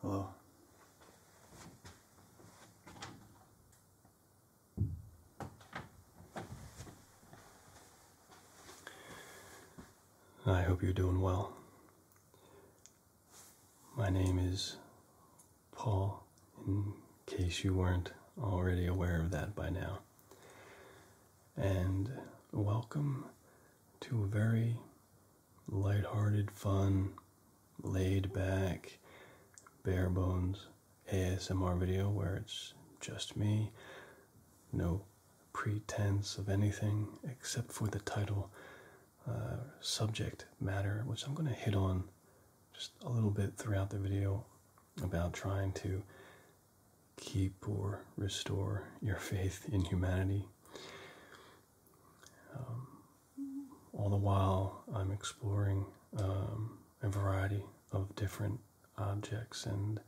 Hello. I hope you're doing well. My name is Paul, in case you weren't already aware of that by now and welcome to a very lighthearted, fun, laid back, bare bones ASMR video where it's just me, no pretense of anything except for the title uh, subject matter, which I'm going to hit on just a little bit throughout the video about trying to keep or restore your faith in humanity. Um, all the while, I'm exploring um, a variety of different objects and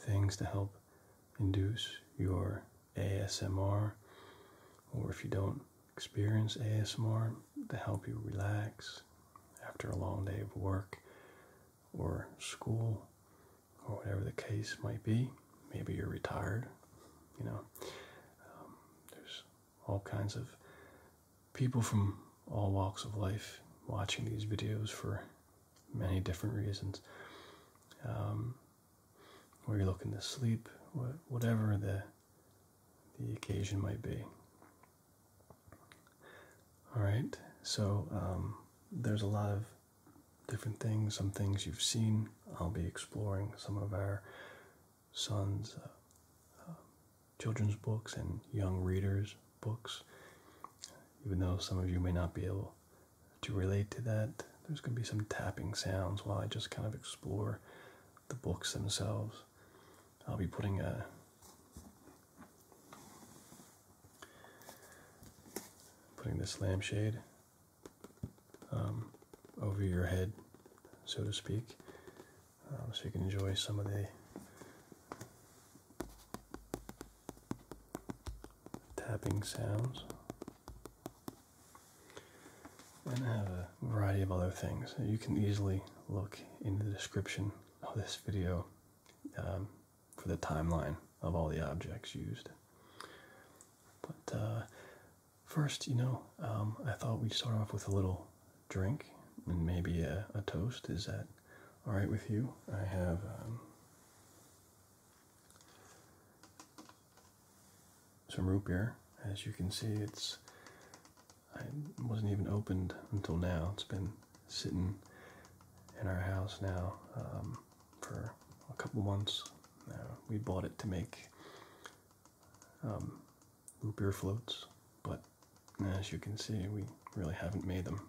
things to help induce your ASMR, or if you don't experience ASMR, to help you relax after a long day of work or school or whatever the case might be. Maybe you're retired, you know. Um, there's all kinds of people from all walks of life watching these videos for many different reasons. Um, where you're looking to sleep, whatever the the occasion might be. All right, so um, there's a lot of different things, some things you've seen. I'll be exploring some of our son's uh, uh, children's books and young readers' books. Even though some of you may not be able to relate to that, there's going to be some tapping sounds while I just kind of explore the books themselves. I'll be putting a Putting this lampshade um, over your head, so to speak, um, so you can enjoy some of the tapping sounds. And I have a variety of other things. You can easily look in the description of this video um, for the timeline of all the objects used. But uh, first, you know, um, I thought we'd start off with a little drink and maybe a, toast. Is that all right with you? I have. Um, some root beer. As you can see, it's I wasn't even opened until now. It's been sitting in our house now um, for a couple months. Uh, we bought it to make um, root beer floats, but as you can see, we really haven't made them.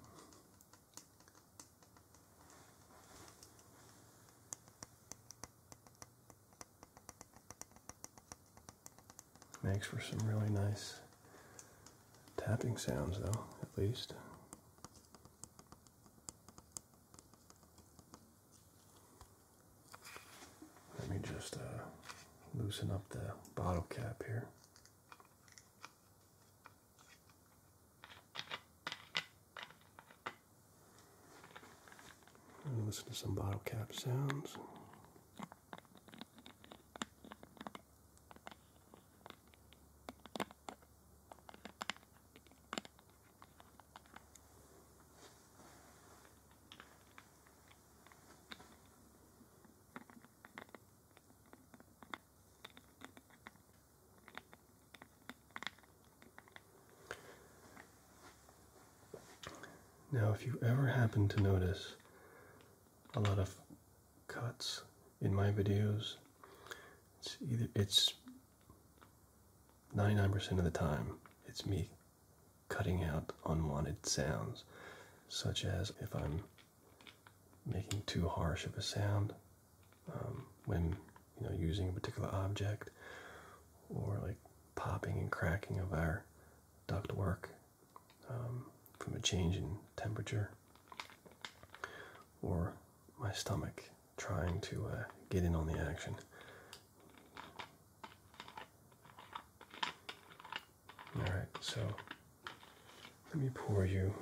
Makes for some really nice tapping sounds though, at least. Let me just uh, loosen up the bottle cap here. listen to some bottle cap sounds. Now, if you ever happen to notice a lot of cuts in my videos. It's either it's 99% of the time it's me cutting out unwanted sounds such as if I'm making too harsh of a sound um, when you know using a particular object or like popping and cracking of our duct work um, from a change in temperature or my stomach trying to uh, get in on the action. All right, so let me pour you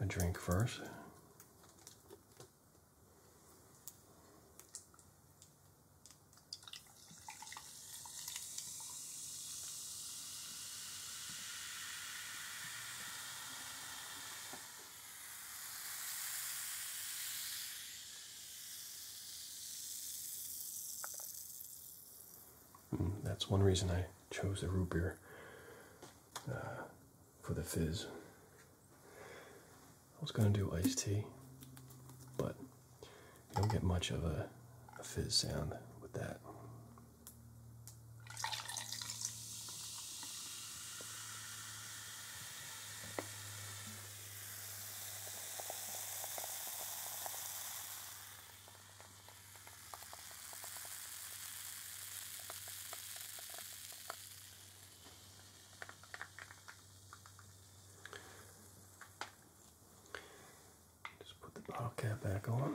a drink first. Mm, that's one reason I chose the root beer uh, for the fizz. I was gonna do iced tea, but you don't get much of a fizz sound with that. Just put the bottle cap back on.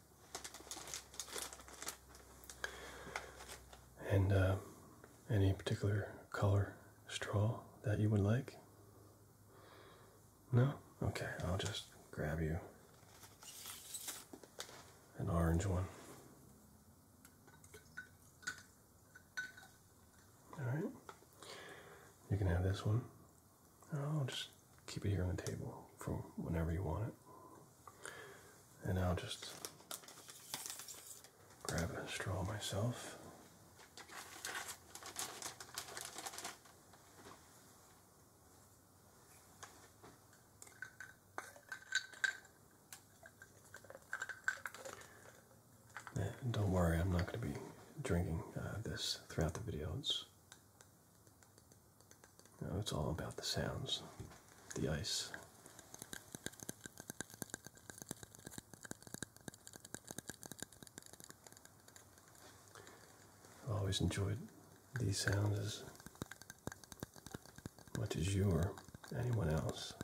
And uh, any particular color straw that you would like? No? Okay, I'll just grab you an orange one. Alright, you can have this one. i just keep it here on the table for whenever you want it. And I'll just grab a straw myself. don't worry, I'm not going to be drinking uh, this throughout the video it's all about the sounds, the ice. I've always enjoyed these sounds as much as you or anyone else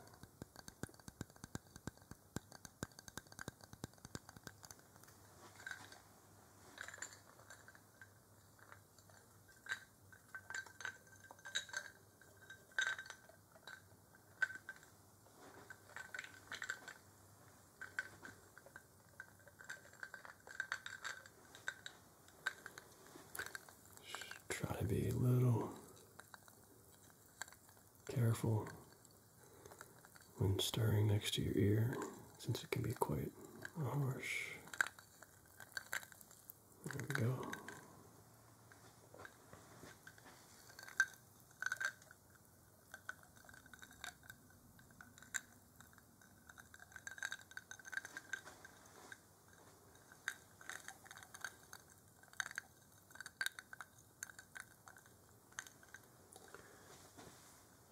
try to be a little careful when stirring next to your ear since it can be quite harsh there we go.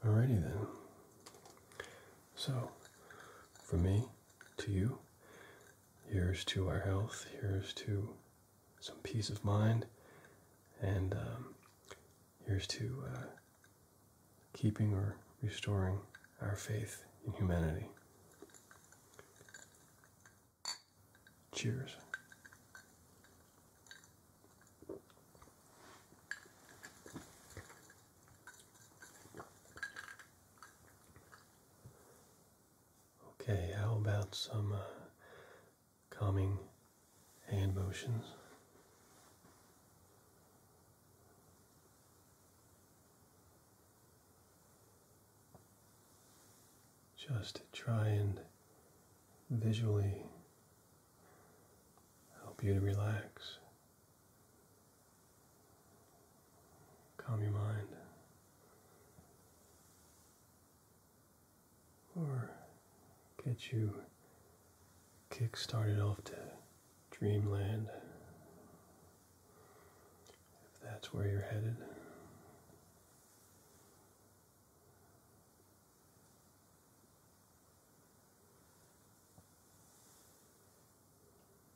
Alrighty then. So, from me to you, here's to our health, here's to some peace of mind, and um, here's to uh, keeping or restoring our faith in humanity. Cheers. Okay, how about some uh, calming hand motions? Just try and visually help you to relax. Calm your mind. Or get you kick started off to dreamland if that's where you're headed.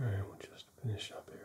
All right, we'll just finish up here.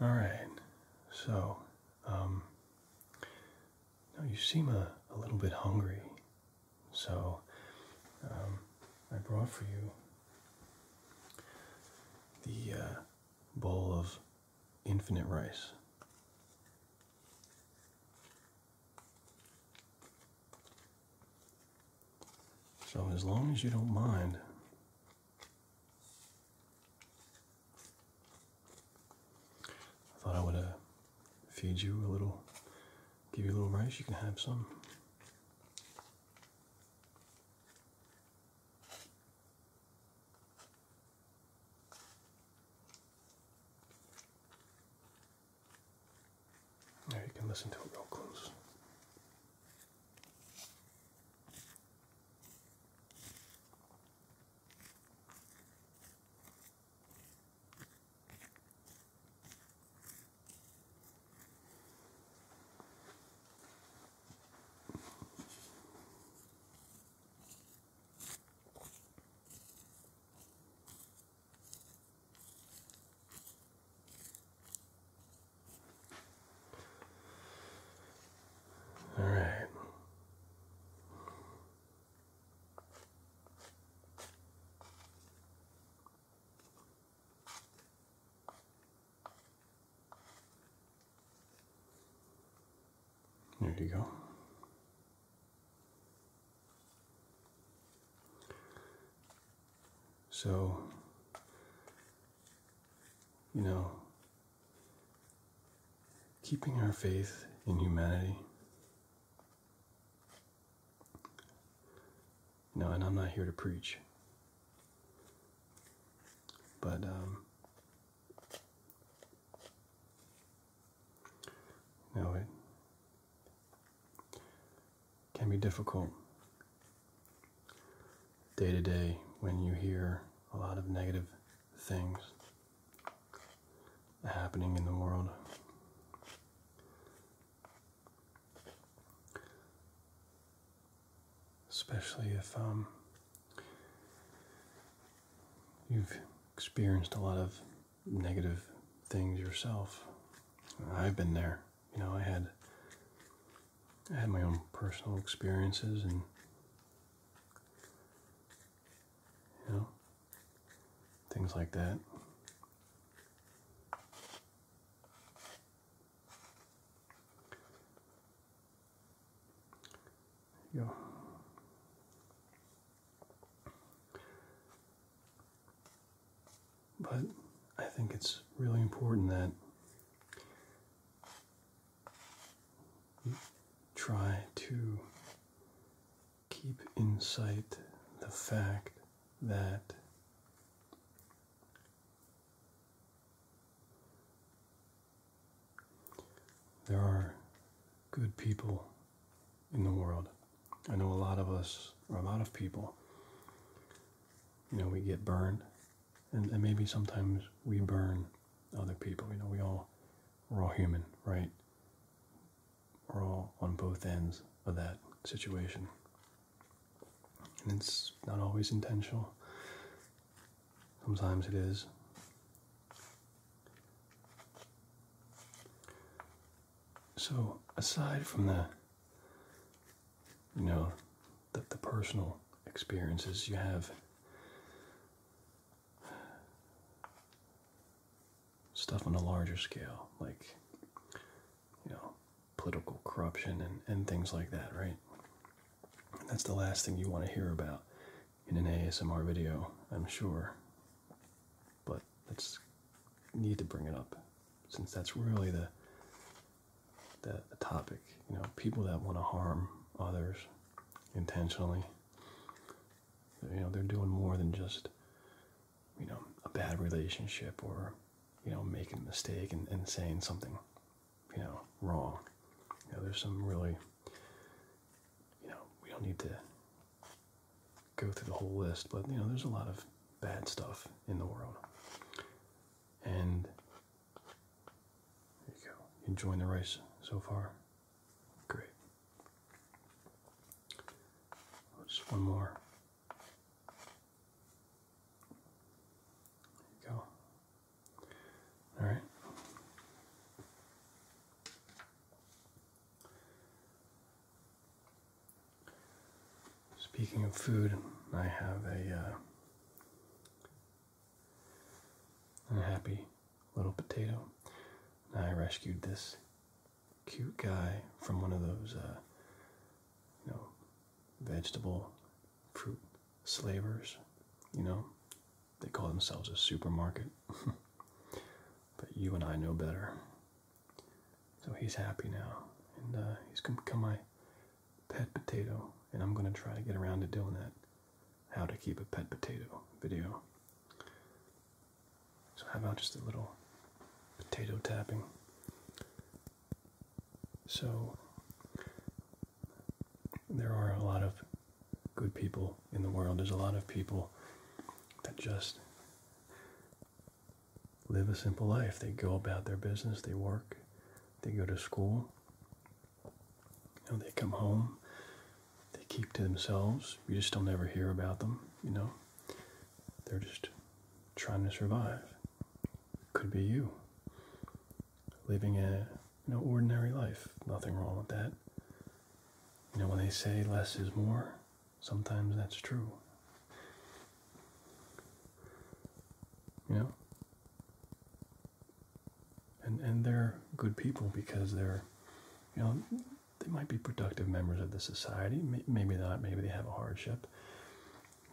All right, so um, now you seem a, little bit hungry, so um, I brought for you the uh, bowl of infinite rice. So, as long as you don't mind, I thought I would feed you a little, give you a little rice. You can have some. Now you can listen to it real close. All right. There you go. So, you know, keeping our faith in humanity. No, and I'm not here to preach. But um no, it can be difficult day to day when you hear a lot of negative things happening in the world. Especially if um, you've experienced a lot of negative things yourself. I've been there you know, I had I had my own personal experiences and you know things like that. There but I think it's really important that you try to keep in sight the fact that there are good people in the world. I know a lot of us, or a lot of people, you know, we get burned. And, and maybe sometimes we burn other people. You know, we all, we're all human, right? We're all on both ends of that situation. And it's not always intentional. Sometimes it is. So, aside from the you know, the, the personal experiences you have. Stuff on a larger scale, like, you know, political corruption and, and things like that, right? that's the last thing you want to hear about in an ASMR video, I'm sure. But that's need to bring it up since that's really the the, topic. You know, people that want to harm others intentionally. You know, they're doing more than just, you know, a bad relationship or, you know, making a mistake and saying something, you know, wrong. You know, there's some really, you know, we don't need to go through the whole list, but, you know, there's a lot of bad stuff in the world. And there you go. You enjoying the rice so far? Great. Oh, just one more. There you go. All right. Speaking of food, I have a uh, happy little potato. I rescued this cute guy from one of those, uh, you know, vegetable fruit slavers. You know, they call themselves a supermarket. but you and I know better. So he's happy now, and uh, he's gonna become my pet potato. And I'm gonna try to get around to doing that how to keep a pet potato video. So, how about just a little potato tapping? So, there are a lot of good people in the world. There's a lot of people that just live a simple life. They go about their business, they work, they go to school, And they come home, they keep to themselves. You just don't ever hear about them, you know. They're just trying to survive. Could be you. Living a you know, ordinary life. Nothing wrong with that. You know, when they say less is more, sometimes that's true. You know? And and they're good people because they're you know they might be productive members of the society, maybe not, maybe they have a hardship,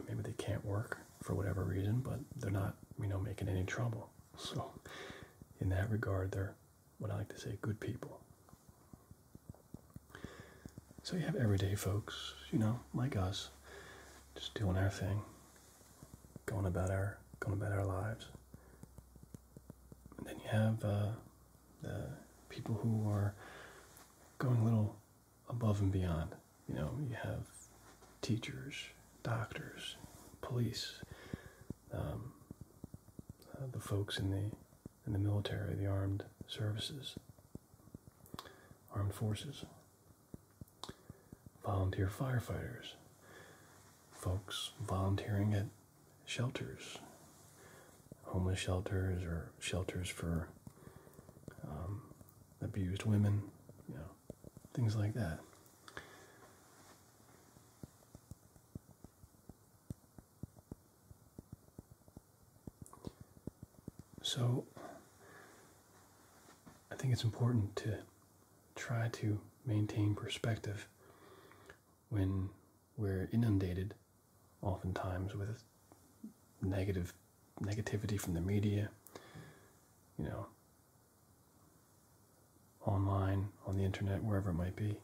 maybe they can't work for whatever reason, but they're not, you know, making any trouble. So in that regard, they're what I like to say, good people. So you have everyday folks, you know, like us, just doing our thing, going about our going about our lives. And then you have uh, people who are going a little above and beyond. You know, you have teachers, doctors, police, um, uh, the folks in the in the military, the armed services, armed forces, volunteer firefighters, folks volunteering at shelters, homeless shelters, or shelters for um, abused women, you know, things like that. So I think it's important to try to maintain perspective when we're inundated oftentimes with negative negativity from the media, you know, online, on the internet, wherever it might be.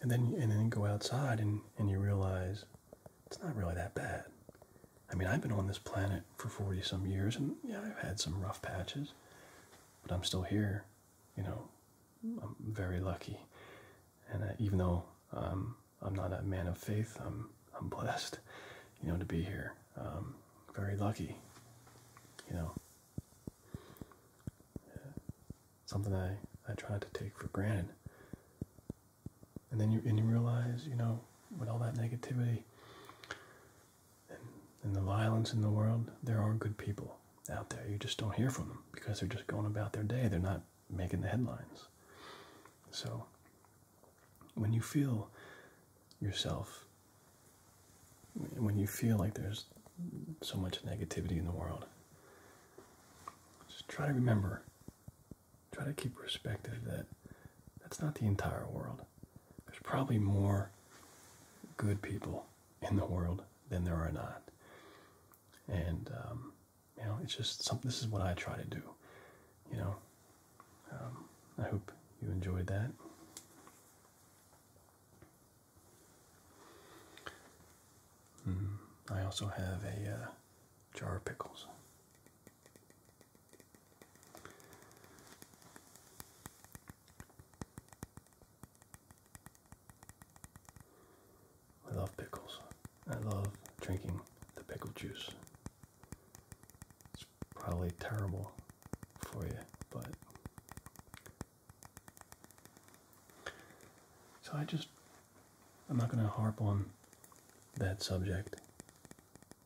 And then and then you go outside and, and you realize it's not really that bad. I mean, I've been on this planet for 40 some years, and yeah, I've had some rough patches, but I'm still here. You know, I'm very lucky. And uh, even though um, I'm not a man of faith, I'm, I'm blessed, you know, to be here. Um, very lucky, you know something I, I try to take for granted. And then you and you realize, you know, with all that negativity and, and the violence in the world, there are good people out there. You just don't hear from them because they're just going about their day. They're not making the headlines. So when you feel yourself, when you feel like there's so much negativity in the world, just try to remember Try to keep perspective that that's not the entire world. There's probably more good people in the world than there are not. And, um, you know, it's just something, this is what I try to do, you know. Um, I hope you enjoyed that. Hmm, I also have a uh, jar of pickles. I love pickles. I love drinking the pickle juice. It's probably terrible for you, but. So I just I'm not going to harp on that subject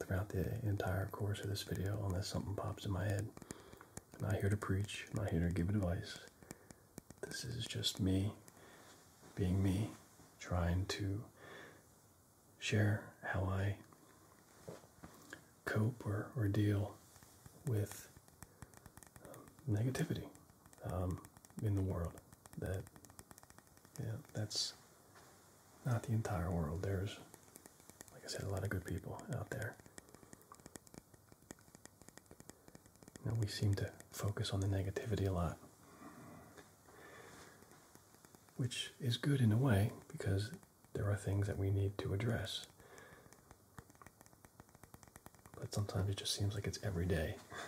throughout the entire course of this video unless something pops in my head. I'm not here to preach, I'm not here to give advice. This is just me being me, trying to share how I cope or, or deal with um, negativity um, in the world. That yeah, that's not the entire world. There's, like I said, a lot of good people out there. You we seem to focus on the negativity a lot, which is good in a way because there are things that we need to address. But sometimes it just seems like it's every day.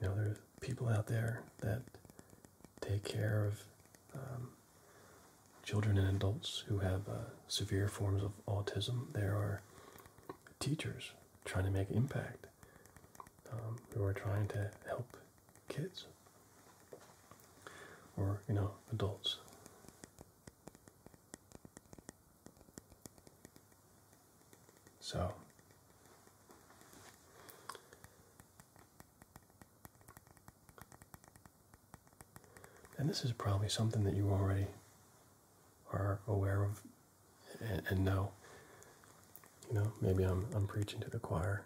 You know, there's people out there that take care of um, children and adults who have uh, severe forms of autism. There are teachers trying to make impact um, who are trying to help kids or, you know, adults. So, and this is probably something that you already are aware of and, know. You know, maybe I'm, I'm preaching to the choir,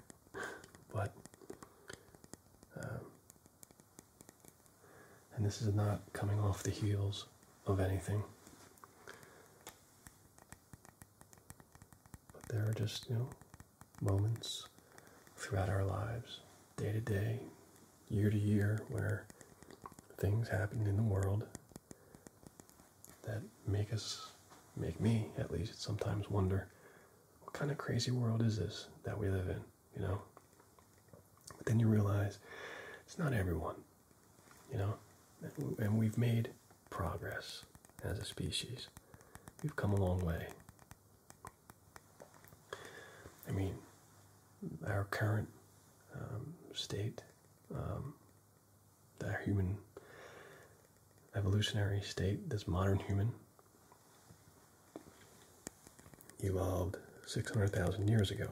but um, and this is not coming off the heels of anything. But there are just, you know, moments throughout our lives, day to day, year to year, where things happen in the world that make us, make me at least, sometimes wonder what kind of crazy world is this that we live in? you know. But then you realize it's not everyone, you know. And we've made progress as a species. We've come a long way. I mean, our current um, state, um, our human evolutionary state, this modern human, evolved 600,000 years ago.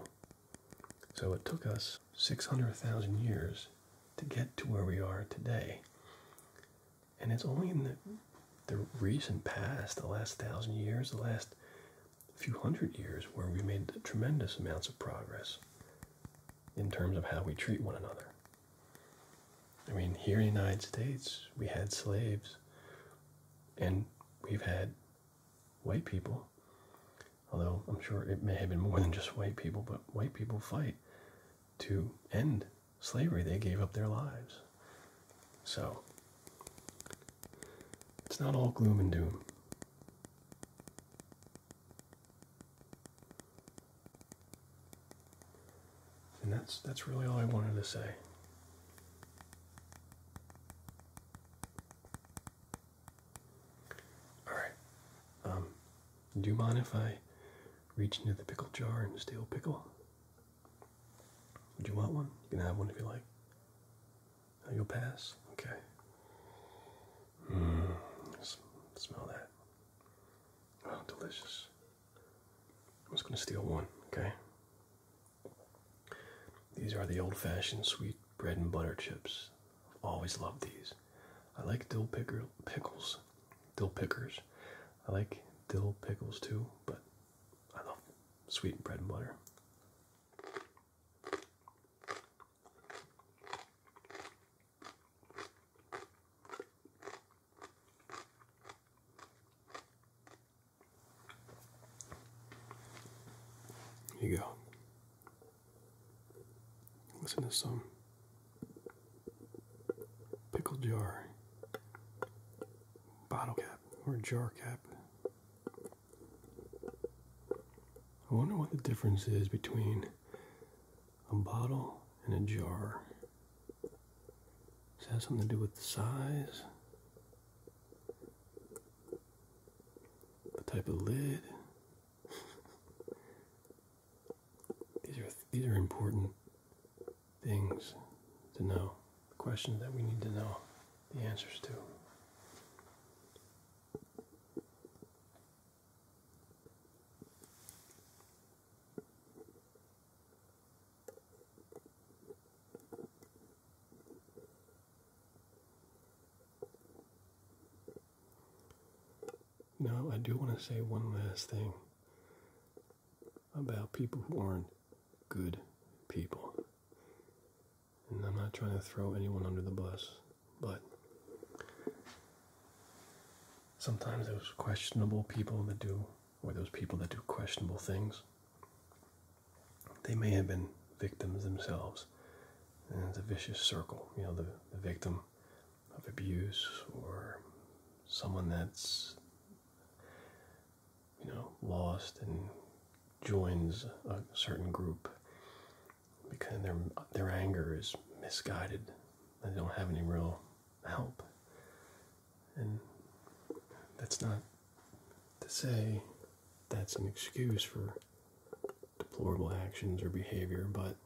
So it took us 600,000 years to get to where we are today. And it's only in the, recent past, the last thousand years, the last few hundred years, where we made tremendous amounts of progress in terms of how we treat one another. I mean, here in the United States, we had slaves, and we've had white people. Although I'm sure it may have been more than just white people, but white people fight to end slavery. They gave up their lives. So it's not all gloom and doom. And that's that's really all I wanted to say. All right. Um, do you mind if I reach into the pickle jar and steal a pickle? Would you want one? You can have one if you like. Oh, you'll pass. Okay. Mm, smell that. Oh, delicious. I'm just gonna steal one. Okay. These are the old-fashioned sweet bread and butter chips. I've always loved these. I like dill pickles, dill pickers. I like dill pickles too, but I love sweet bread and butter. Here you go. Listen to some pickle jar, bottle cap, or jar cap. I wonder what the difference is between a bottle and a jar. Does it have something to do with the size? the type of lid. these are these are important things to know. questions that we need to know the answers to. Now, I do want to say one last thing about people who aren't good people. And I'm not trying to throw anyone under the bus, but sometimes those questionable people that do, or those people that do questionable things, they may have been victims themselves. And it's a vicious circle. You know, the, the victim of abuse or someone that's, you know, lost and joins a certain group because their, their anger is misguided. They don't have any real help. And that's not to say that's an excuse for deplorable actions or behavior, but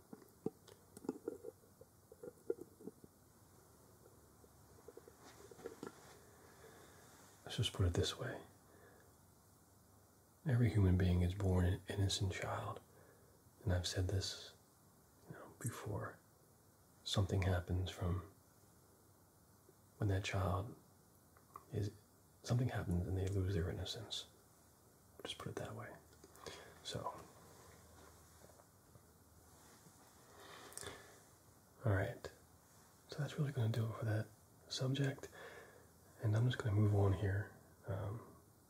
let's just put it this way every human being is born an innocent child. And I've said this before. Something happens from when that child is something happens and they lose their innocence. Just put it that way. So, all right. So that's really going to do it for that subject, and I'm just going to move on here um,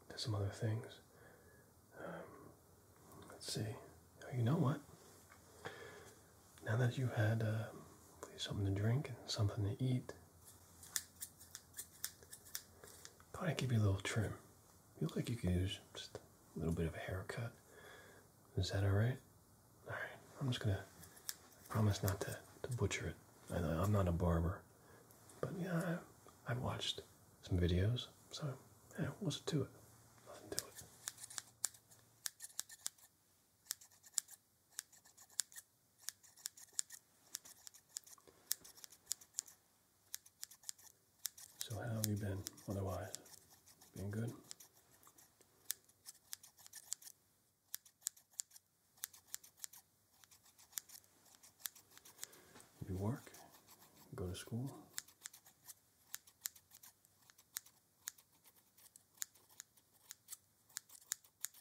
to some other things. Um, let's see. Oh, you know what? Now that you had uh, something to drink and something to eat i Probably give you a little trim. You look like you could use just a little bit of a haircut. Is that alright? Alright, I'm just gonna promise not to, to butcher it. I, am not a barber. But yeah, I, I watched some videos, so yeah, what's to it? Nothing to it. So, how have you been otherwise? Been good? You work, go to school.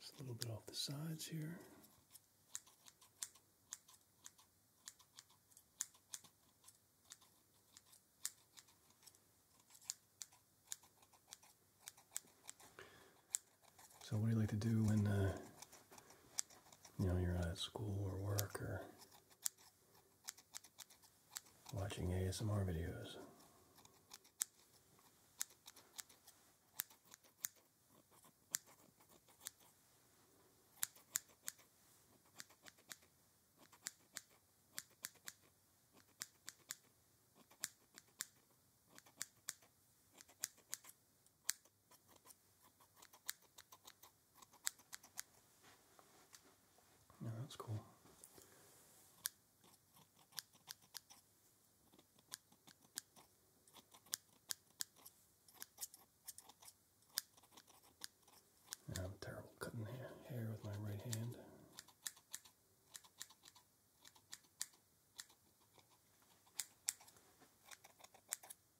Just a little bit off the sides here. So, what do you like to do when uh, you know you're at school or work or watching ASMR videos? Yeah, that's cool. I'm terrible cutting hair with my right hand.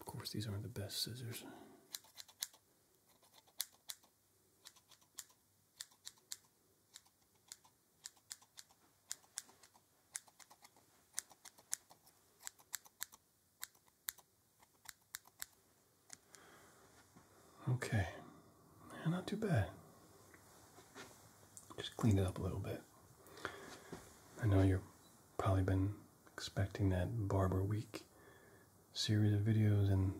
Of course, these aren't the best scissors. Okay, yeah, not too bad. Just cleaned it up a little bit. I know you've probably been expecting that Barber Week series of videos, and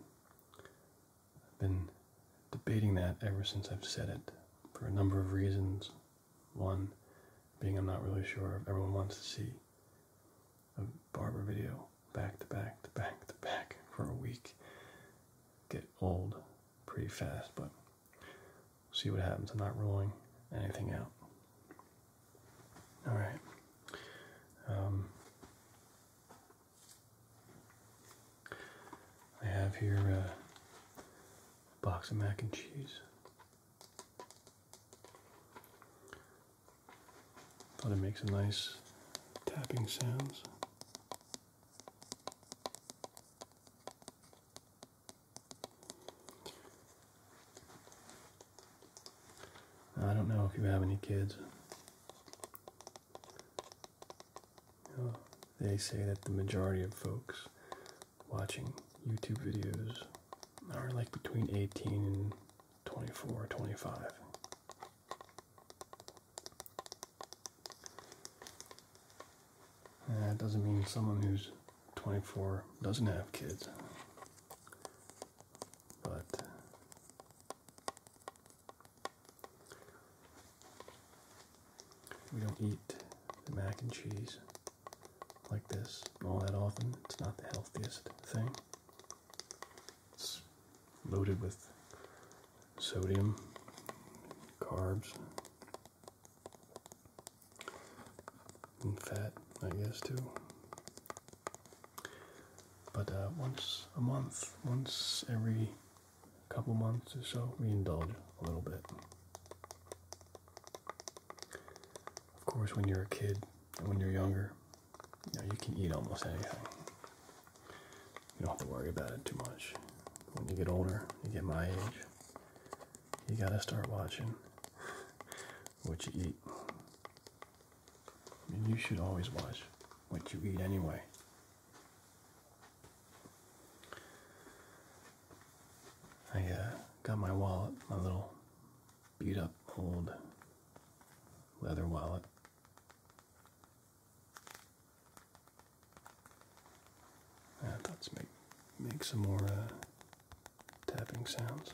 I've been debating that ever since I've said it for a number of reasons. One being I'm not really sure if everyone wants to see a barber video back to back to back to back for a week. Get old pretty fast, but see what happens. I'm not ruling anything out. All right. Um, I have here uh, a box of mac and cheese. Thought it makes a nice tapping sounds. I don't know if you have any kids. they say that the majority of folks watching YouTube videos are like between 18 and 24 or 25. Uh, that doesn't mean someone who's 24 doesn't have kids. But uh, we don't eat mac and cheese like this all that often. It's not the healthiest thing. It's loaded with sodium, carbs, and fat, I guess, too. But uh, once a month, once every couple months or so, we indulge a little bit. Of course, when you're a kid and when you're younger, you, know, you can eat almost anything. You don't have to worry about it too much. When you get older, you get my age, you gotta start watching what you eat. I you should always watch what you eat anyway. I uh, got my wallet, my little beat up old leather wallet yeah, let's make make some more uh, tapping sounds.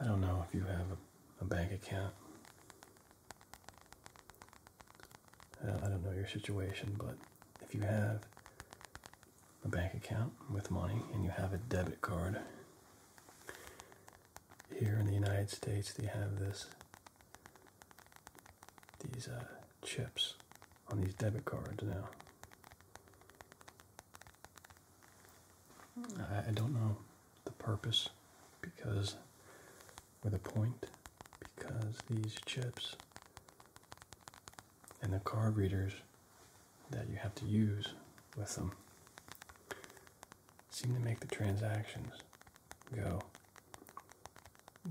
I don't know if you have a, bank account. Uh, I don't know your situation, but if you have, a bank account with money and you have a debit card. Here in the United States, they have this these uh, chips on these debit cards now. I, don't know the purpose because or the point because these chips and the card readers that you have to use with them seem to make the transactions go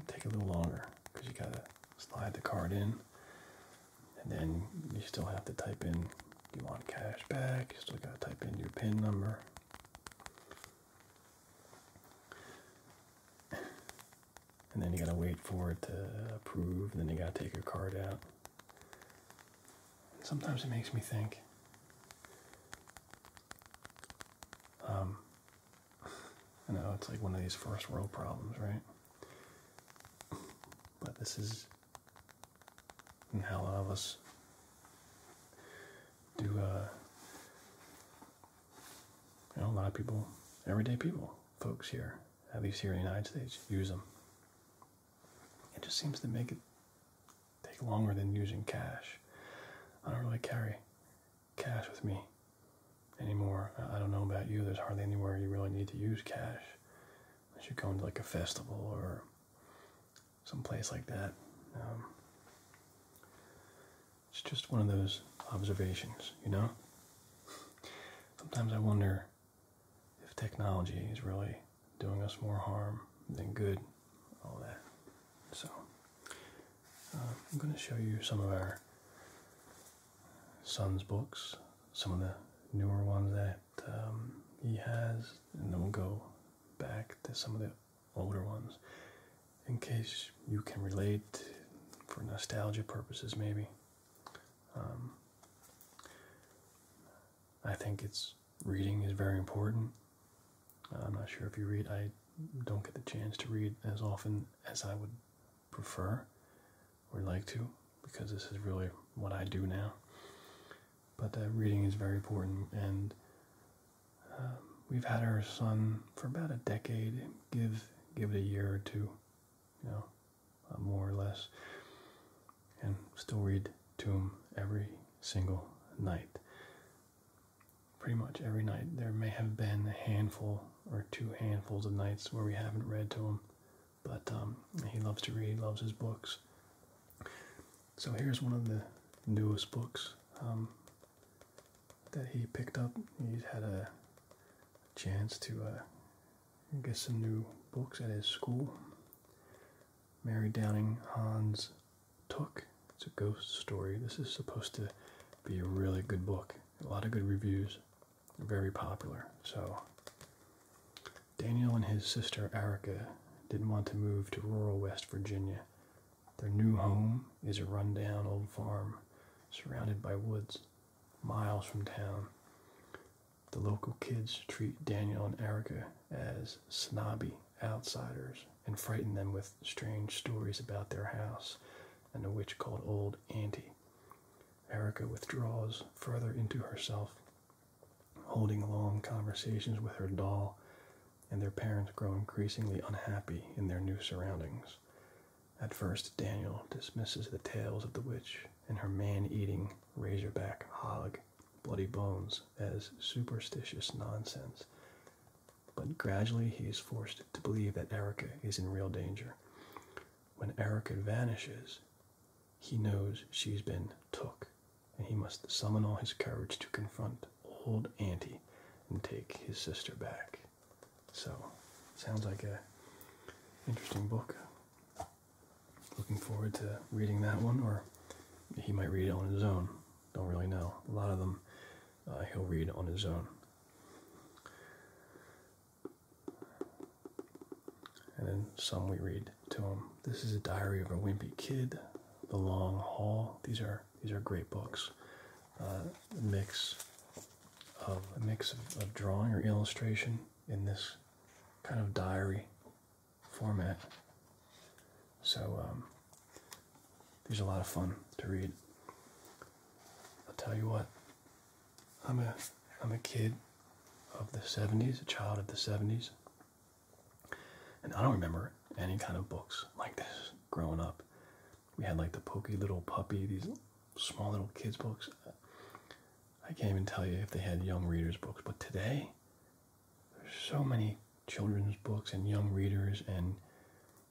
take a little longer because you gotta slide the card in and then you still have to type in you want cash back you still gotta type in your pin number and then you gotta wait for it to approve and then you gotta take your card out Sometimes it makes me think. Um, I know it's like one of these first world problems, right? But this is how a lot of us do. Uh, you know, a lot of people, everyday people, folks here, at least here in the United States, use them. It just seems to make it take longer than using cash. I don't really carry cash with me anymore. I don't know about you. There's hardly anywhere you really need to use cash unless you go into like a festival or some place like that. Um, it's just one of those observations, you know? Sometimes I wonder if technology is really doing us more harm than good, all that. So, uh, I'm going to show you some of our son's books, some of the newer ones that um, he has, and then we'll go back to some of the older ones in case you can relate for nostalgia purposes, maybe. Um, I think it's reading is very important. I'm not sure if you read. I don't get the chance to read as often as I would prefer or like to because this is really what I do now. But uh, reading is very important, and um, we've had our son for about a decade. Give give it a year or two, you know, uh, more or less, and still read to him every single night. Pretty much every night. There may have been a handful or two handfuls of nights where we haven't read to him, but um, he loves to read, loves his books. So here's one of the newest books um, that he picked up. He's had a chance to uh, get some new books at his school. Mary Downing Hans Took. It's a ghost story. This is supposed to be a really good book. A lot of good reviews. Very popular. So Daniel and his sister Erica didn't want to move to rural West Virginia. Their new home is a rundown old farm surrounded by woods, miles from town. The local kids treat Daniel and Erica as snobby outsiders and frighten them with strange stories about their house and a witch called Old Auntie. Erica withdraws further into herself, holding long conversations with her doll, and their parents grow increasingly unhappy in their new surroundings. At first, Daniel dismisses the tales of the witch and her man eating Razorback Hog, Bloody Bones as superstitious nonsense. But gradually he is forced to believe that Erica is in real danger. When Erica vanishes, he knows she's been took, and he must summon all his courage to confront old Auntie and take his sister back. So, sounds like a interesting book looking forward to reading that one, or he might read it on his own. Don't really know. A lot of them uh, he'll read on his own. And then some we read to him. This is a Diary of a Wimpy Kid, The Long Haul. These are these are great books. Uh, a mix of a mix of drawing or illustration in this kind of diary format. So um, these are a lot of fun to read. I'll tell you what, I'm a I'm a kid of the 70s, a child of the 70s. And I don't remember any kind of books like this growing up. We had like the Pokey Little Puppy, these small little kids books. I can't even tell you if they had young readers' books, but today, there's so many children's books and young readers and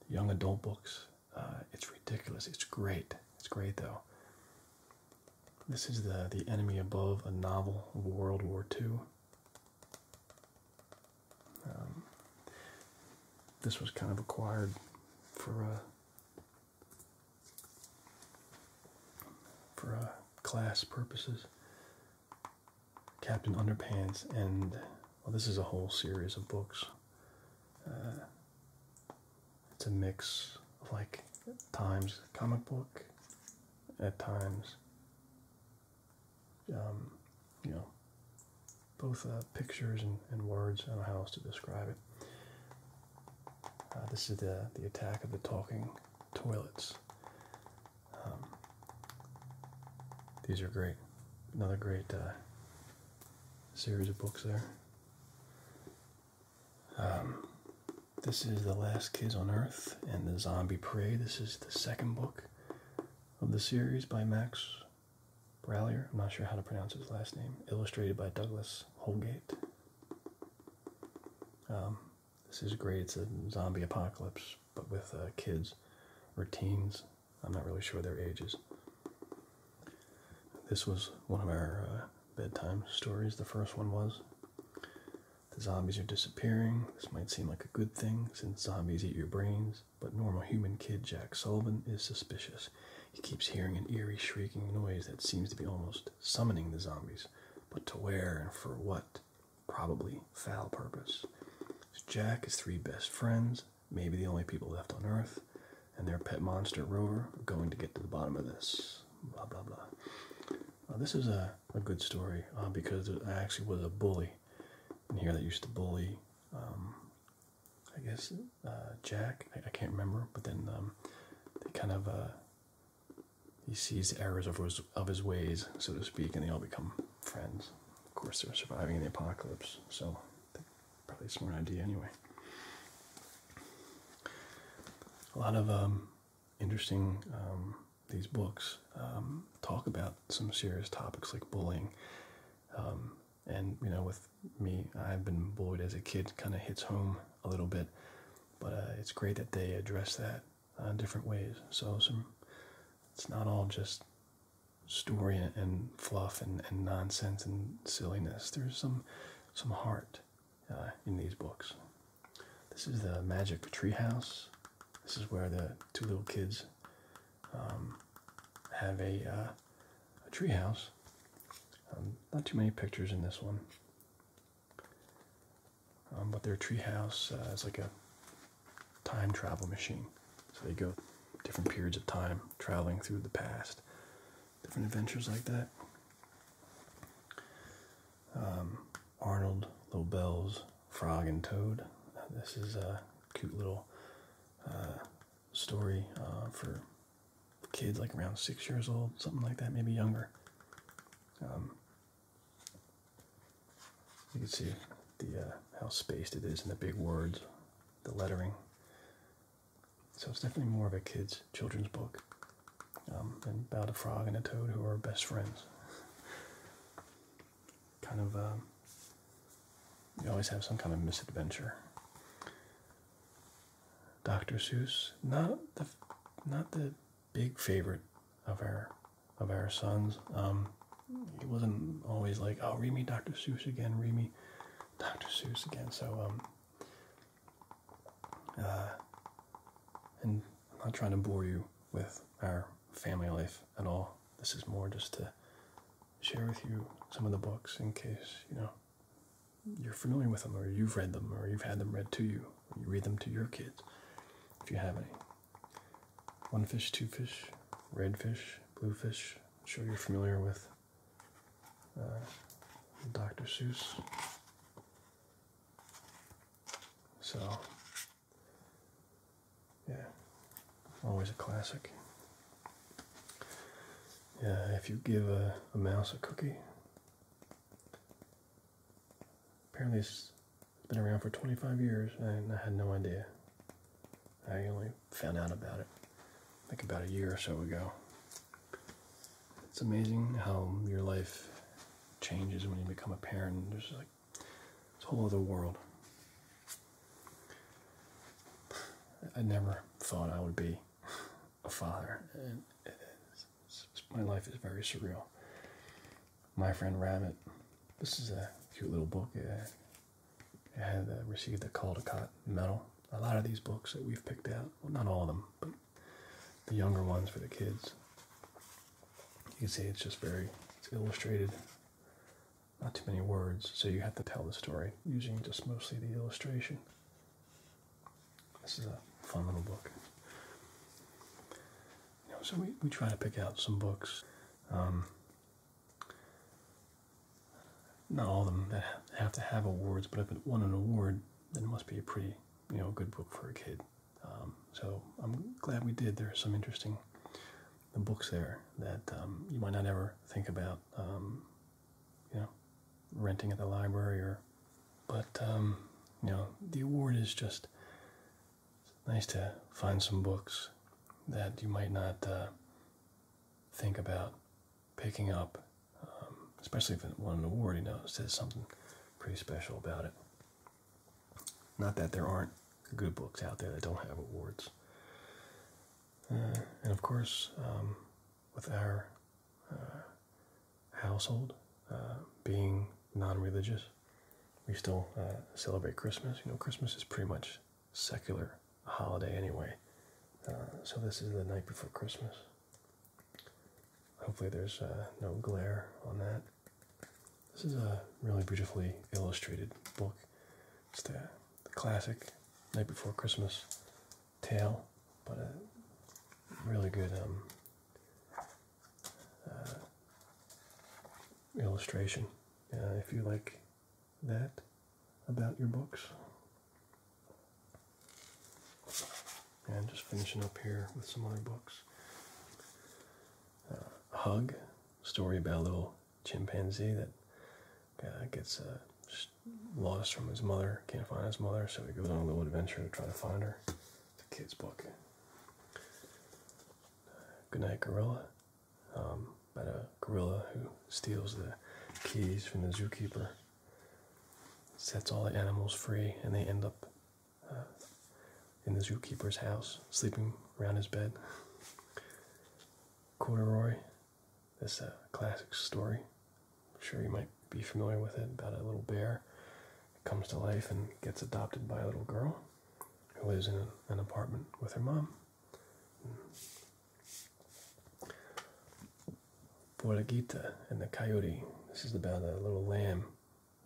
young adult books. Uh, it's ridiculous. It's great. It's great though. This is the the enemy above a novel of World War II. Um, this was kind of acquired for a. Uh, for uh, class purposes. Captain Underpants, and well, this is a whole series of books. Uh, it's a mix of like times comic book, at times, um, you know, both uh, pictures and, words. I a house to describe it. this is the the attack of the talking toilets. Um, these are great. Another great uh, series of books there. Um, this is The Last Kids on Earth and The Zombie Prey. This is the second book of the series by Max Brallier. I'm not sure how to pronounce his last name. Illustrated by Douglas Holgate. Um, this is great. It's a zombie apocalypse, but with uh, kids or teens. I'm not really sure their ages. This was one of our uh, bedtime stories. The first one was The Zombies Are Disappearing. This might seem like a good thing since zombies eat your brains, but normal human kid Jack Sullivan is suspicious. He keeps hearing an eerie shrieking noise that seems to be almost summoning the zombies but to where and for what? Probably foul purpose. Jack, is three best friends, maybe the only people left on Earth, and their pet monster Rover going to get to the bottom of this. Blah blah blah. this is a, a good story uh, because I actually was a bully in here that used to bully. Um, I guess uh, Jack. I, can't remember, but then um, they kind of uh, he sees the errors of his, of his ways, so to speak, and they all become friends. Of course, they're surviving in the apocalypse, so probably a smart idea anyway. A lot of um, interesting um, these books um, talk about some serious topics like bullying, and you know, with me, I've been bullied as a kid. Kind of hits home a little bit. But uh, it's great that they address that uh, different ways. So some, it's not all just story and, fluff and, and nonsense and silliness. There's some some heart uh, in these books. This is the Magic Treehouse. This is where the two little kids um, have a, uh, a treehouse. Um, not too many pictures in this one but um, their treehouse uh, is like a time travel machine. So they go different periods of time, traveling through the past, different adventures like that. Um, Arnold Lobel's Frog and Toad. Uh, this is a cute little uh, story uh, for kids like around six years old, something like that, maybe younger. Um, you can see the uh, how spaced it is and the big words, the lettering. So it's definitely more of a kids' children's book. Um, about a frog and a toad who are best friends. kind of, um, you always have some kind of misadventure. Dr. Seuss, not the, not the big favorite of our of our sons. Um, he wasn't always like, "Oh, read me Dr. Seuss again, read me Dr. Seuss again." So, um, uh, and I'm not trying to bore you with our family life at all. This is more just to share with you some of the books in case you know you're familiar with them or you've read them or you've had them read to you you read them to your kids if you have any. One fish, two fish, red fish, blue fish. sure you're familiar with uh, Dr. Seuss. So, yeah, always a classic. Yeah, if you give a mouse a cookie, Apparently, it's been around for 25 years, and I had no idea. I only found out about it like about a year or so ago. It's amazing how your life changes when you become a parent. There's like it's a whole other world. I never thought I would be a father, and it is my life is very surreal. My friend Rabbit. This is a cute little book. It had uh, received the Caldecott Medal. A lot of these books that we've picked out, well, not all of them, but the younger ones for the kids. You can see it's just very it's illustrated. Not too many words, so you have to tell the story using just mostly the illustration. This is a fun little book. You know, so we, we try to pick out some books. Um, not all of them that have to have awards, but if it won an award, then it must be a pretty, you know, good book for a kid. Um, so I'm glad we did. There are some interesting books there that um, you might not ever think about, you know, renting at the library or but um, you know, the award is just nice to find some books that you might not uh, think about picking up, um, especially if it won an award. You know, it says something pretty special about it. Not that there aren't good books out there that don't have awards. Uh, and of course, um, with our uh, household, uh, being non-religious. We still uh, celebrate Christmas. You know, Christmas is pretty much secular holiday anyway. Uh, so this is the night before Christmas. Hopefully there's no glare on that. This is a really beautifully illustrated book. It's the, the classic Night Before Christmas tale, but a really good um, uh, illustration uh, if you like that about your books. And just finishing up here with some other books. Uh, Hug, story about a little chimpanzee that gets lost from his mother, can't find his mother, so he goes on a little adventure to try to find her. It's a kid's book. Goodnight Gorilla, about um, a gorilla who steals the keys from the zookeeper, sets all the animals free, and they end up uh, in the zookeeper's house, sleeping around his bed. Corduroy, this uh, classic story. I'm sure you might be familiar with it about a little bear comes to life and gets adopted by a little girl who lives in an apartment with her mom. Boragita and the coyote. This is about a little lamb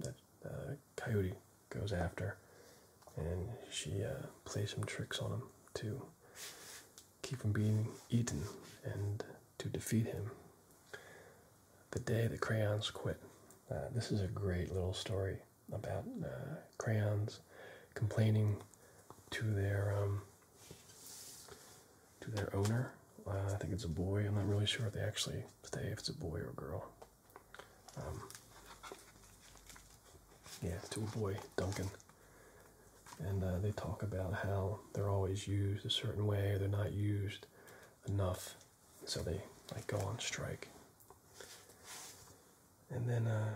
that the uh, coyote goes after, and she uh, plays some tricks on him to keep from being eaten and to defeat him the day the crayons quit. Uh, this is a great little story about uh, crayons complaining to their um, to their owner. Uh, I think it's a boy. I'm not really sure if they actually say if it's a boy or a girl. Um, yeah, to a boy, Duncan. And they talk about how they're always used a certain way, they're not used enough so they like go on strike. And then uh,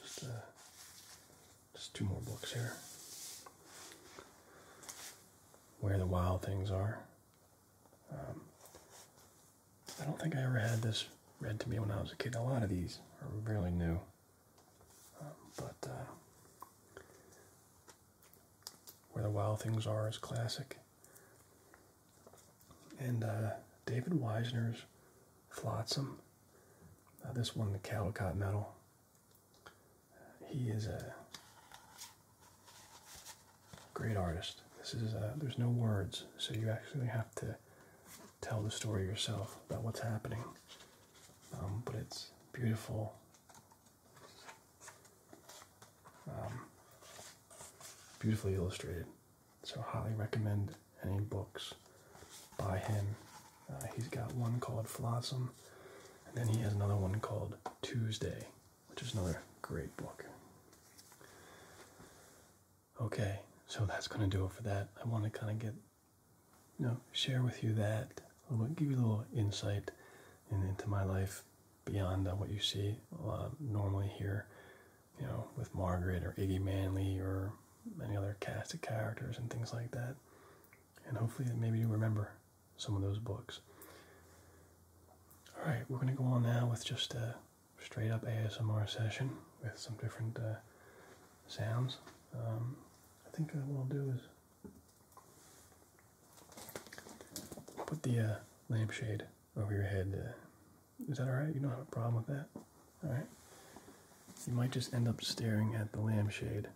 just uh, just two more books here. Where the Wild Things Are. Um, I don't think I ever had this read to me when I was a kid. A lot of these are really new, um, but uh, Where the Wild Things Are is classic. And uh, David Weisner's Flotsam, uh, this won the Caldecott Medal. He is a great artist. This is uh, there's no words, so you actually have to tell the story yourself about what's happening. Um, but it's beautiful um, beautifully illustrated. So, highly recommend any books by him. Uh, he's got one called Flossom, and then he has another one called Tuesday, which is another great book. Okay, so that's going to do it for that. I want to kind of get, you know, share with you that, give you a little insight into my life beyond uh, what you see uh, normally here, you know, with Margaret or Iggy Manley or any other cast of characters and things like that. And hopefully, maybe you remember some of those books. All right, we're going to go on now with just a straight up ASMR session with some different uh, sounds. Um, I think what I'll do is Put the uh, lampshade over your head. Uh, is that all right? You don't have a problem with that? All right. You might just end up staring at the lampshade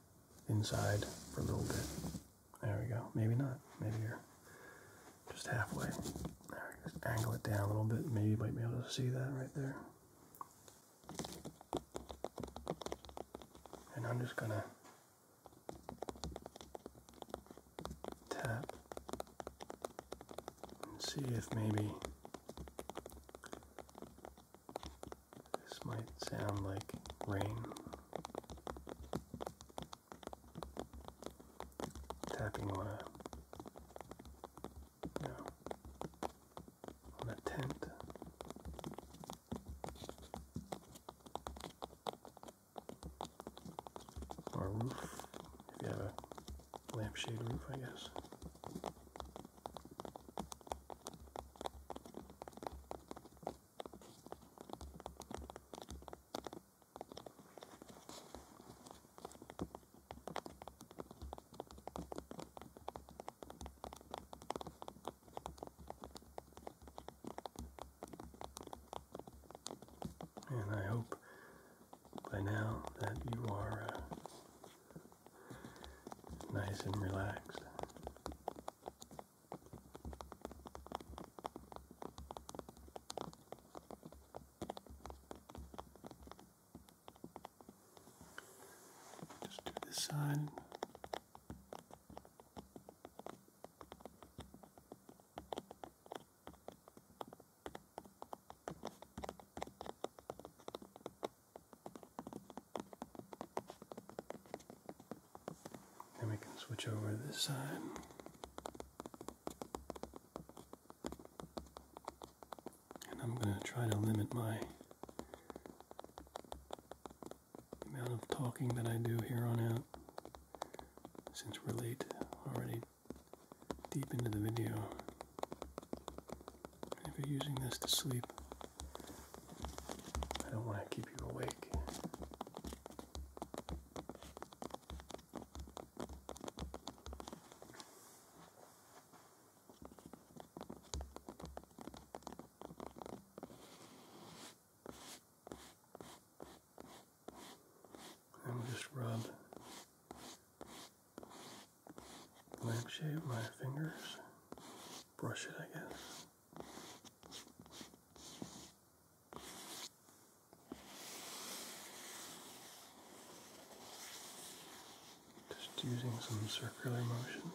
inside for a little bit. There we go. Maybe not. Maybe you're just halfway. just angle it down a little bit. Maybe you might be able to see that right there. And I'm just gonna tap and see if maybe this might sound like rain tapping on a on a tent or a roof. If you have a lampshade roof, I guess and I hope by now that you are uh, nice and relaxed. Just do this side. And we can switch over to this side. And I'm going to try to limit my amount of talking that I do here on out since we're late already deep into the video. if you're using this to sleep, I don't want to keep you awake i And just rub lampshade my fingers, brush it, I guess. Just using some circular motions.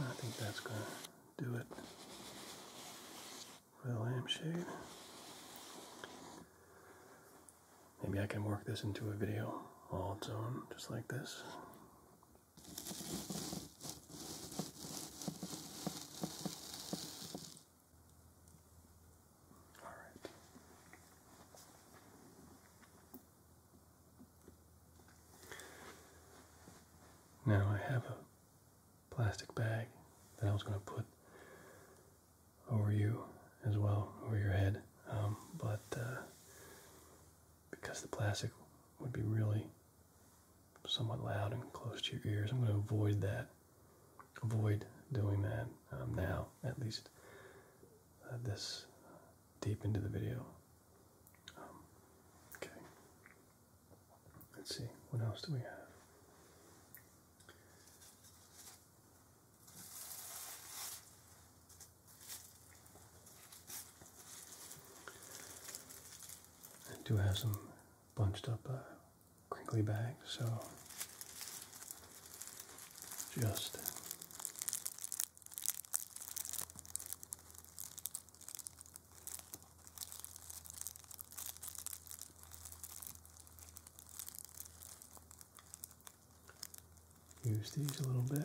I think that's going to do it for the lampshade. Maybe I can work this into a video all its own, just like this. All right. Now I have a plastic bag that I was going to put over you as well, over your head, um, but uh, because the plastic would be really somewhat loud and close to your ears, I'm going to avoid that. Avoid doing that um, now, at least uh, this deep into the video. Um, okay. Let's see, what else do we have? I do have some bunched up uh, crinkly bags, so just Use these a little bit.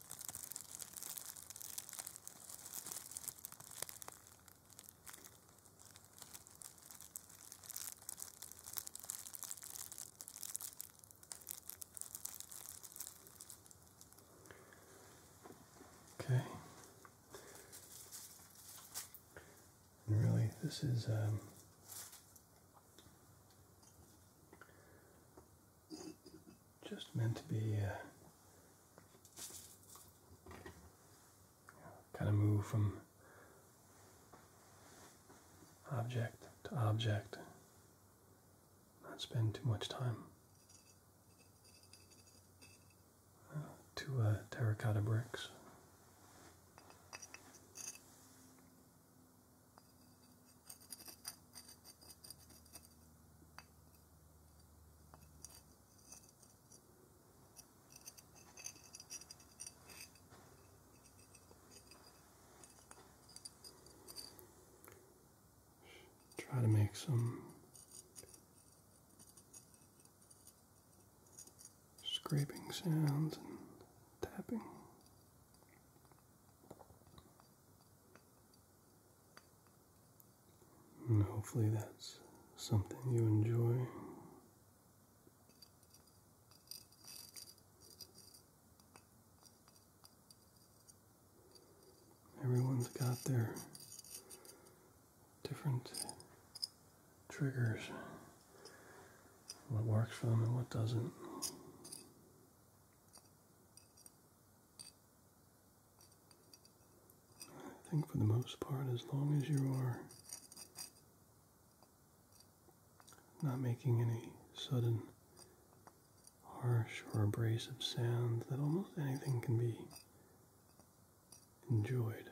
Okay. And really, this is um, just meant to be uh, kind of move from object to object, not spend too much time. To uh, terracotta bricks. Try to make some scraping sounds and tapping hopefully that's something you enjoy. Everyone's got their different triggers, what works for them and what doesn't. I think for the most part, as long as you are not making any sudden harsh or abrasive sounds, that almost anything can be enjoyed.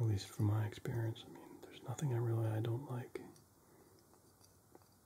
At least from my experience, I mean, there's nothing I really I don't like.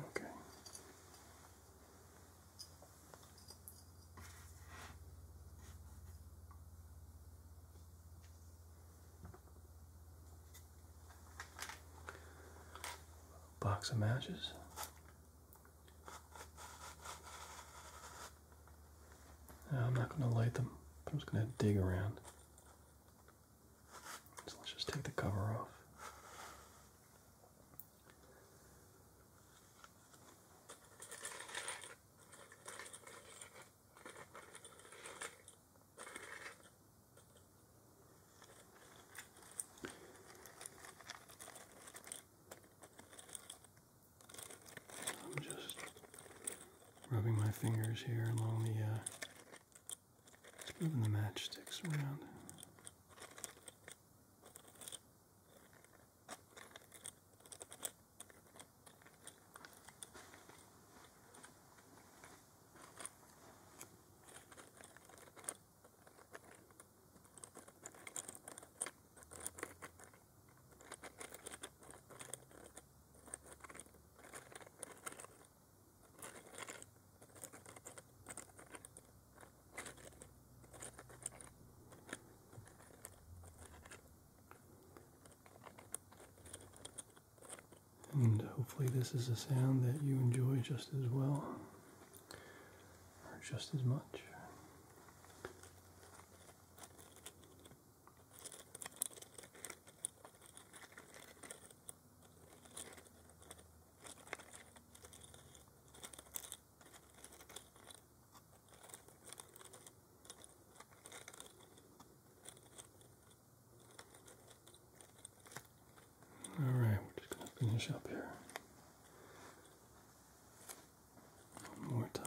Okay. Box of matches. I'm not going to light them, I'm just going to dig around. So let's just take the cover off. I'm just rubbing my fingers here along the uh, just moving the matchsticks around. And hopefully, this is a sound that you enjoy just as well, or just as much. All right, we're just going to finish up here. One more time.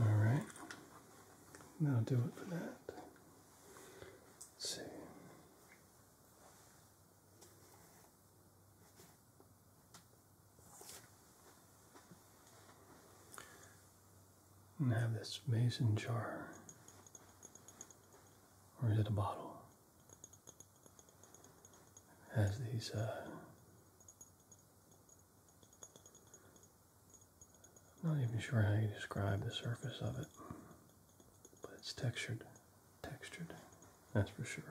All Now do it for that. Let's see. And have this mason jar, or is it a bottle? has these uh, I'm not even sure how you describe the surface of it, but it's textured. Textured, that's for sure.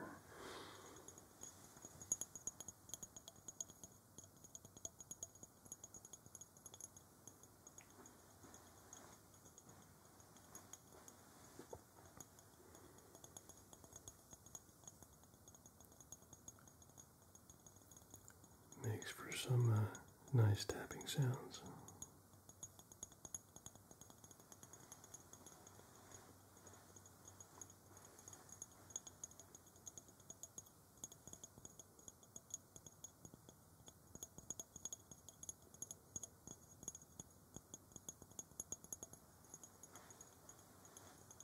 Makes for some uh, nice tapping sounds.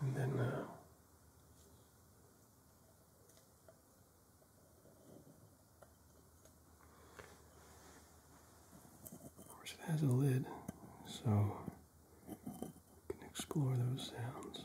And then uh, of course it has a lid, so you can explore those sounds.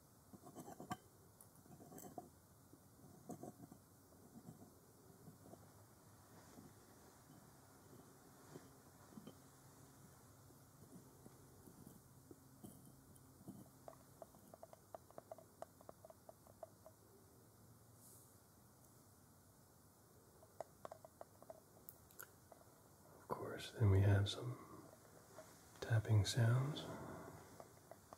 Of course, then we have some tapping sounds.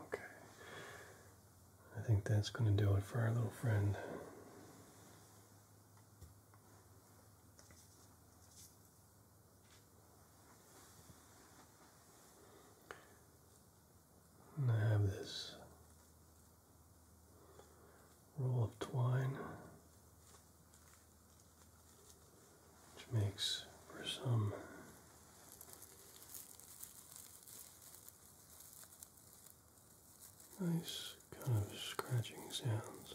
Okay. I think that's going to do it for our little friend. I have this roll of twine, which makes for some nice kind of scratching sounds.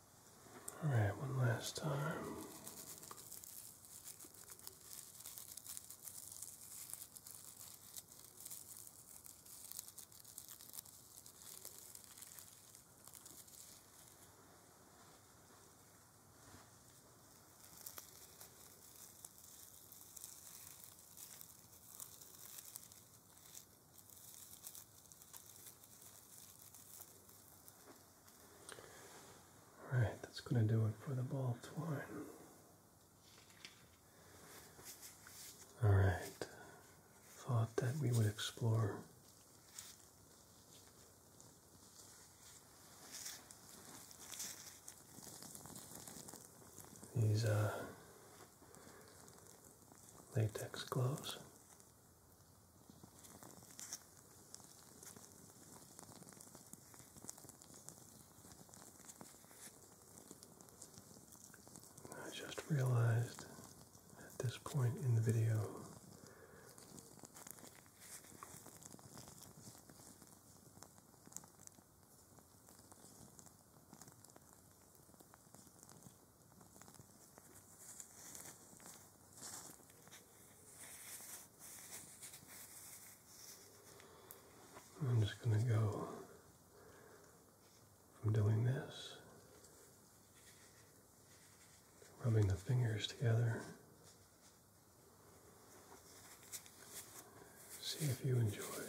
All right, one last time. All right, that's going to do it for the ball of twine. All right, thought that we would explore these uh, latex gloves. I just realized at this point in the video I'm just going to go from doing this, rubbing the fingers together. See if you enjoy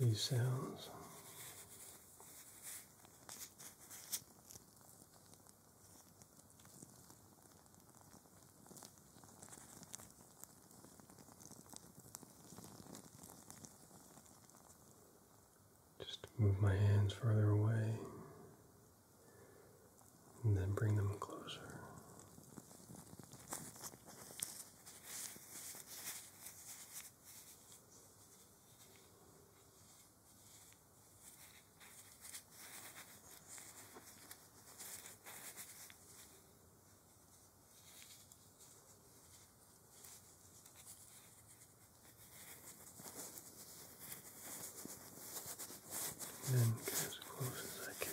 these sounds. Just move my hands further away and then bring them closer. And then as close as I can.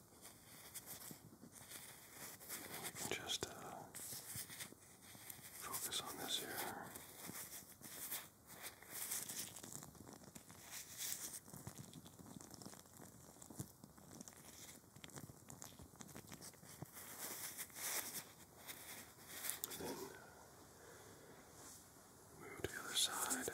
Just uh, focus on this here. And then uh, move to the other side.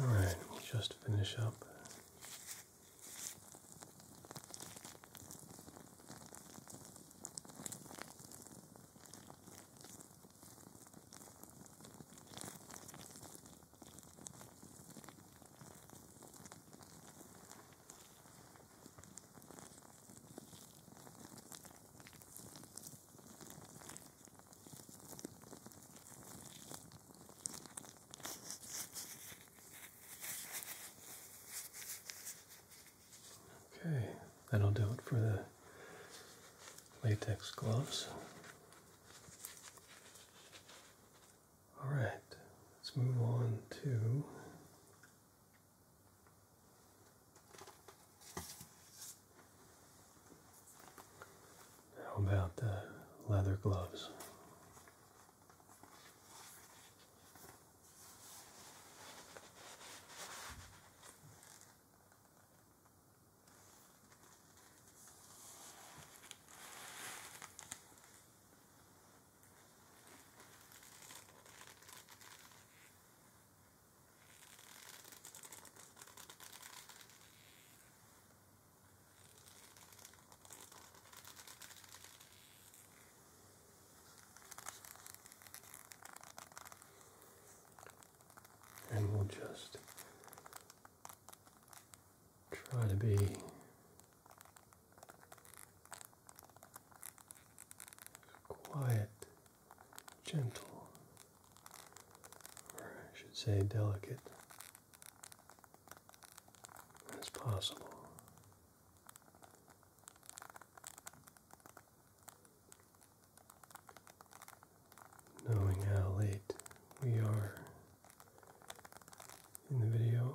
All just finish up. Okay, that'll do it for the latex gloves. All right, let's move on to how about the leather gloves? And we'll just try to be quiet, gentle, or I should say delicate as possible. Knowing how late we are in the video,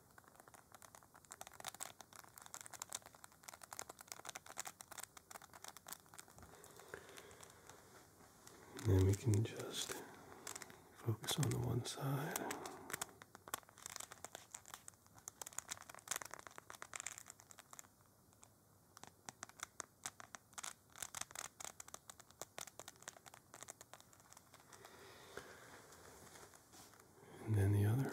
And then we can just focus on the one side and then the other.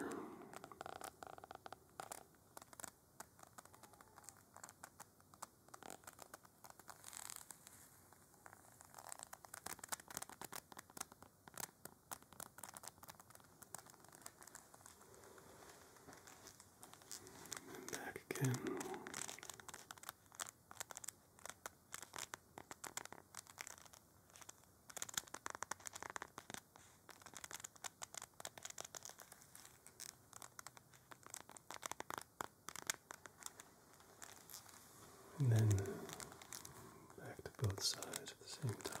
And back again. And then back to both sides at the same time.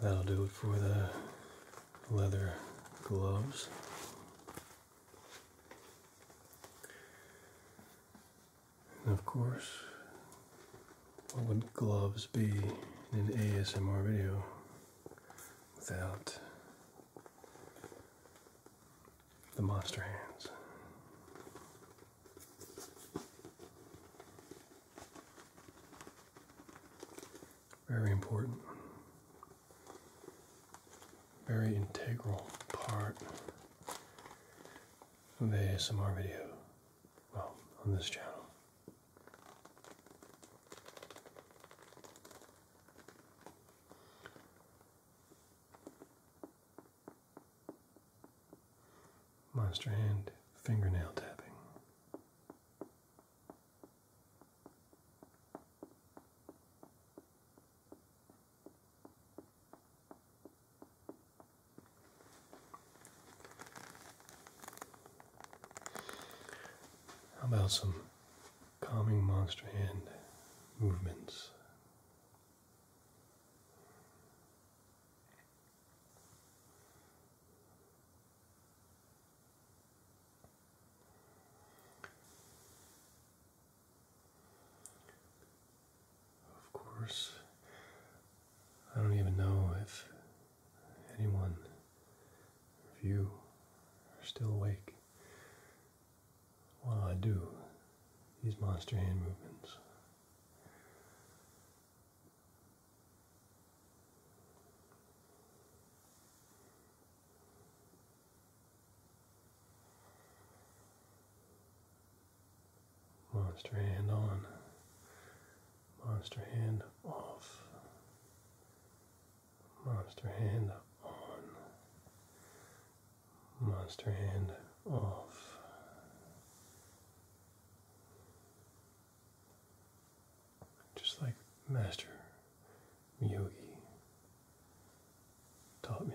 That'll do it for the leather gloves. And of course, what would gloves be in an ASMR video without the monster hands. Very important, very integral part of the ASMR video, well, on this channel. Monster hand fingernail tapping. How about some calming monster hand movements of course, I don't even know if anyone, if you, are still awake while I do these monster hand movements. Monster hand on, monster hand off, monster hand on, monster hand off. Just like Master Miyogi taught me.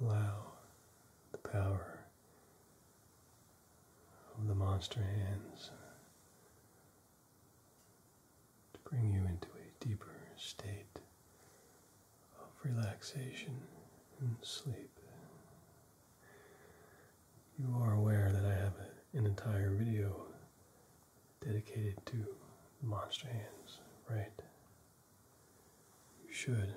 Allow the power of the monster hands to bring you into a deeper state of relaxation and sleep. You are aware that I have an entire video dedicated to monster hands, right? You should.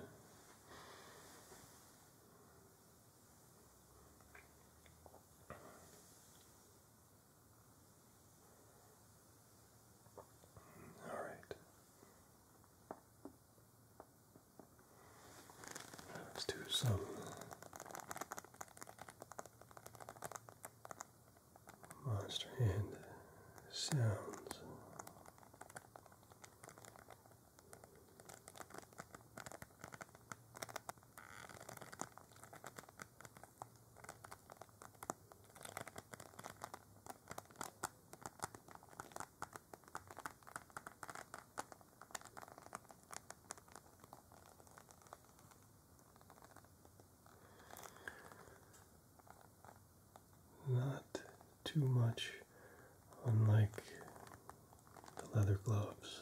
All right. Let's do some monster hand sounds. Not too much, unlike the leather gloves.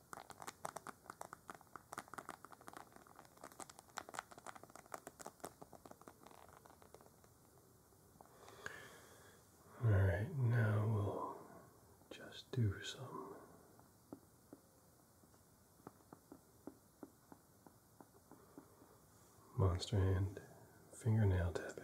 All right, now we'll just do some monster hand fingernail tapping.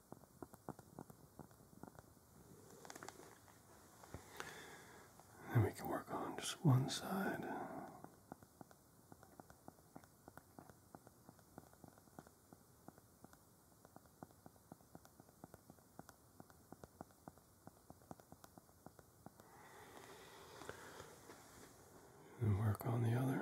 Then we can work on just one side. And work on the other.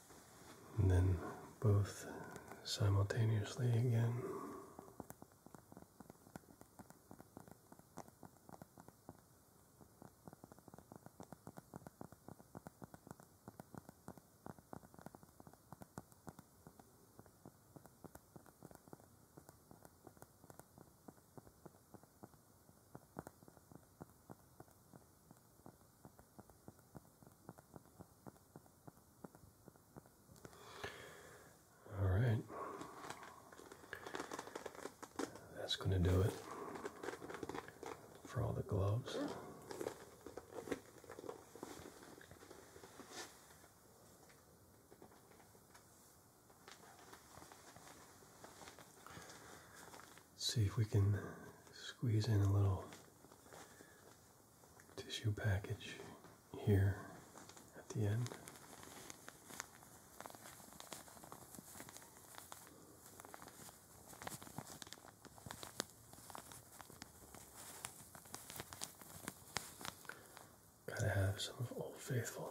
and then both simultaneously again. All right. That's going to do it for all the gloves. Let's see if we can squeeze in a little tissue package here at the end. Gotta have some Old Faithful.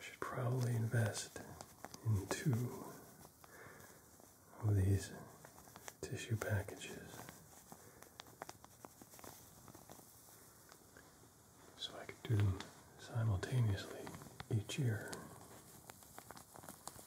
should probably invest in two of these tissue packages so I could do them simultaneously each year.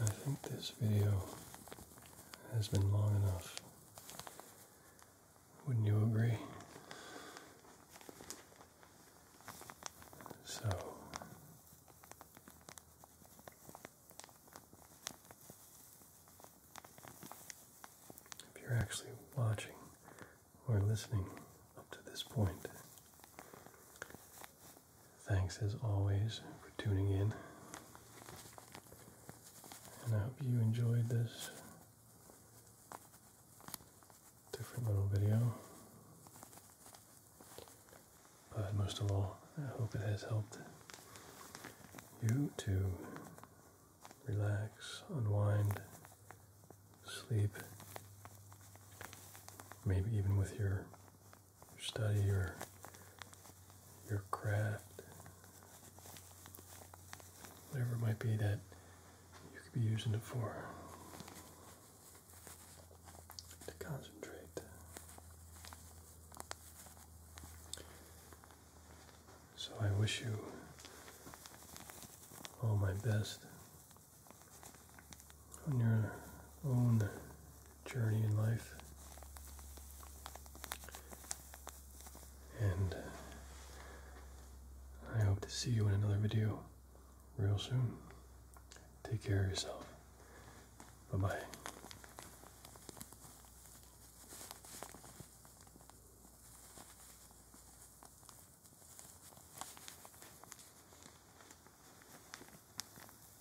I think this video has been long enough. Wouldn't you agree? So, if you're actually watching or listening up to this point, Thanks as always for tuning in. And I hope you enjoyed this different little video. But most of all, I hope it has helped you to relax, unwind, sleep, maybe even with your study your your craft, whatever it might be that you could be using it for. To concentrate. So I wish you all my best on your own journey in life. And I hope to see you in another video real soon. Take care of yourself. Bye bye.